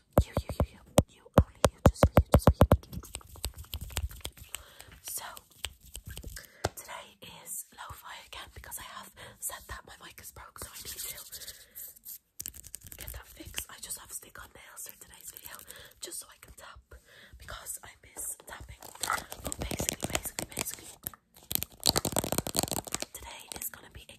You, you, you, you, you, only you, just for you, just for you. So, today is lo again because I have said that my mic is broke, so I need to get that fixed. I just have stick on nails for today's video, just so I can tap because I miss tapping. But basically, basically, basically, today is gonna be a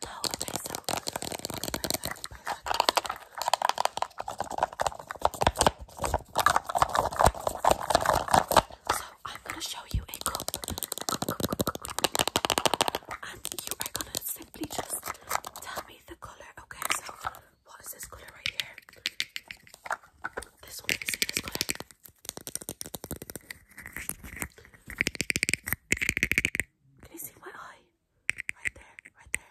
toe So I'm gonna show you a cup, and you are gonna simply just tell me the color. Okay, so what is this color right here? This one is this color. Can you see my eye? Right there, right there.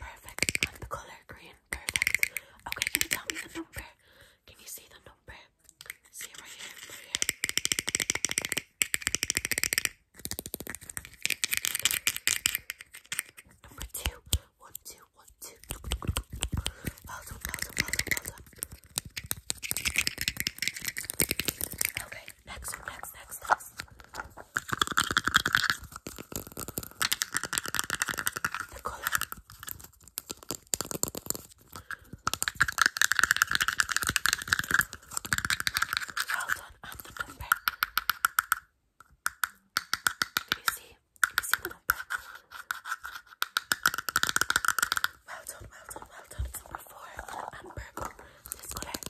Perfect. And the color green. Perfect. Okay, can you tell me the number? Can you see the number? See right here, right here. Number two. One, two, one, two. Well done, well done, well done, well Okay, Next, next, next, next. The color. Well done, and the number. Can you see? see the number? Well done, well done, well done. Number four, This color. And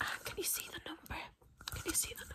ah, can you see the number? Can you see the number?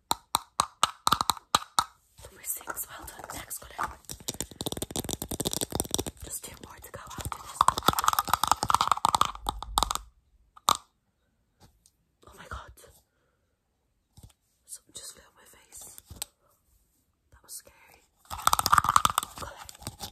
Number well done. Next, go Just two more to go after this. Oh my god. Something just fell on my face. That was scary. Well done.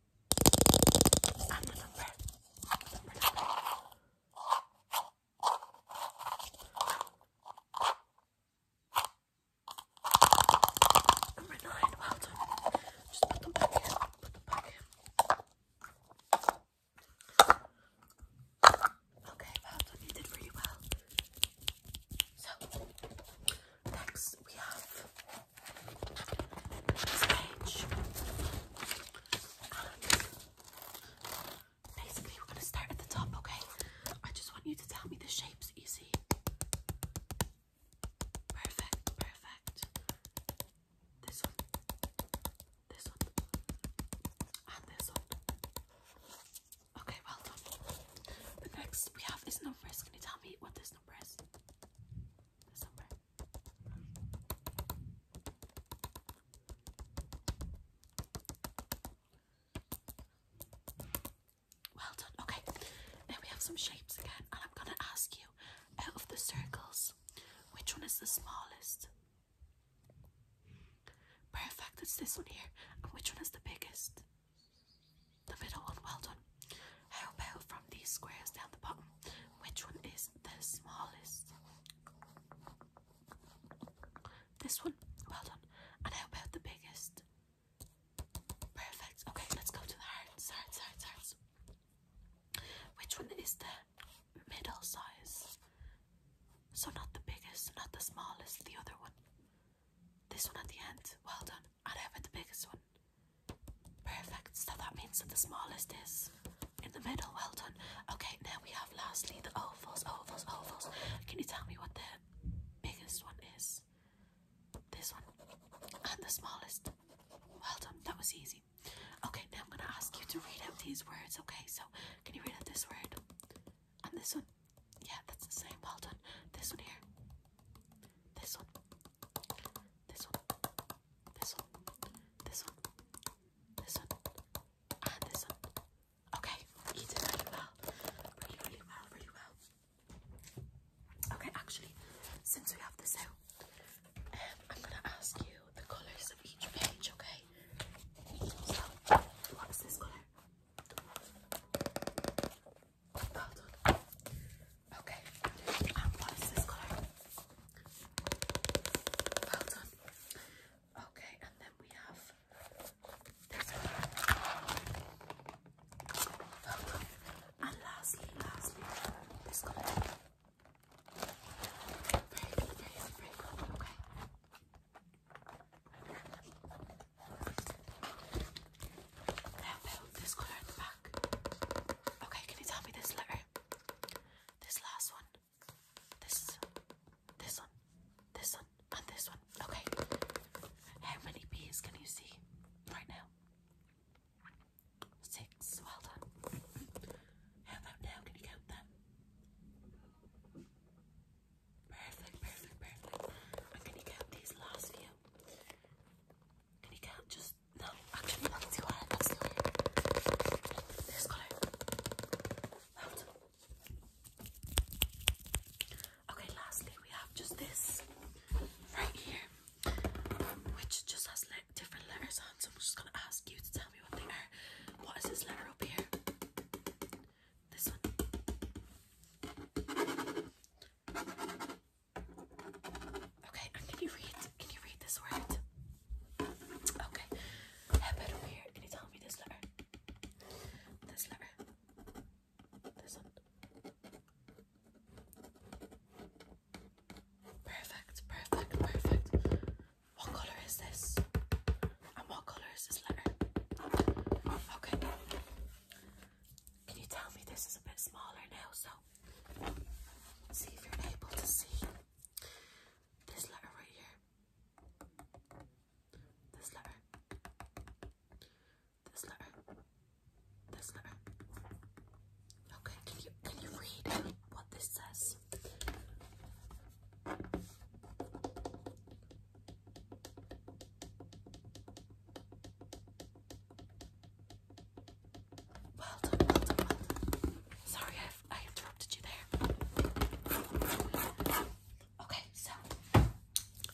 i number. nine. Well done. Just put them back in. Put them back in. Okay, well done. You did really well. So, next we have basically, we're going to start at the top, okay? I just want you to tell me the shapes easy. Perfect, perfect. This one, this one, and this one. Okay, well next we have is number. Can you tell me what this number is? This number. Well done. Okay, now we have some shapes again, and I'm going to ask you out of the circles, which one is the smallest? Perfect, it's this one here. And which one is the biggest? The middle one. Well done. How about from these squares down the bottom? Which one is the smallest? This one? Well done. And how about the biggest? Perfect. Okay, let's go to the hearts, hearts, hearts, hearts. Which one is the middle size? So, not the biggest, not the smallest, the other one. This one at the end. Well done. And how about the biggest one? Perfect. So that means that the smallest is in the middle. Well done. Okay, now we have lastly the ovals, ovals, ovals. Can you tell me what the biggest one is? This one. And the smallest. Well done. That was easy. Okay, now I'm going to ask you to read out these words. Okay, so can you read out this word? And this one? Yeah, that's the same. Well done. This one here this one, this one, this one, this one, this one, and ah, this one. Okay, you did really well. Really, really well, really well. Okay, actually, since we have this out, um, I'm gonna ask you the colours of each page, okay? So, what's this colour? Well done. Okay. And um, what is this colour? Well done. Okay, and then we have this colour. Well done. And lastly, lastly, this colour. Very good, very Okay. Now build this colour at the back. Okay, can you tell me this letter? This last one. This this one. This one. And this one. Okay. How many bees can you see right now? Six. Well done. How about now? Can you count that? Perfect, perfect, perfect. I'm count these last few. Can you count just no? Actually, that's too hard. That's too hard. This color. Okay. Lastly, we have just this right here, which just has like different letters on. So I'm just gonna ask you to tell me what they are. What is this letter up here? This one. Okay, and can you read? Can you read this word? Okay. How about over here? Can you tell me this letter? This letter. This one. Perfect, perfect, perfect. What color is this? And what colour is this letter? Okay. Can you tell me this is a bit smaller now? So, see if you're able to see this letter right here. This letter. This letter. This letter. Okay, can you can you read what this says? Well done, well done, Sorry, i I interrupted you there. Okay, so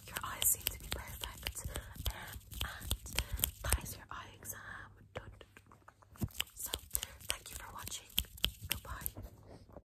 your eyes seem to be perfect, and that is your eye exam So, thank you for watching. Goodbye.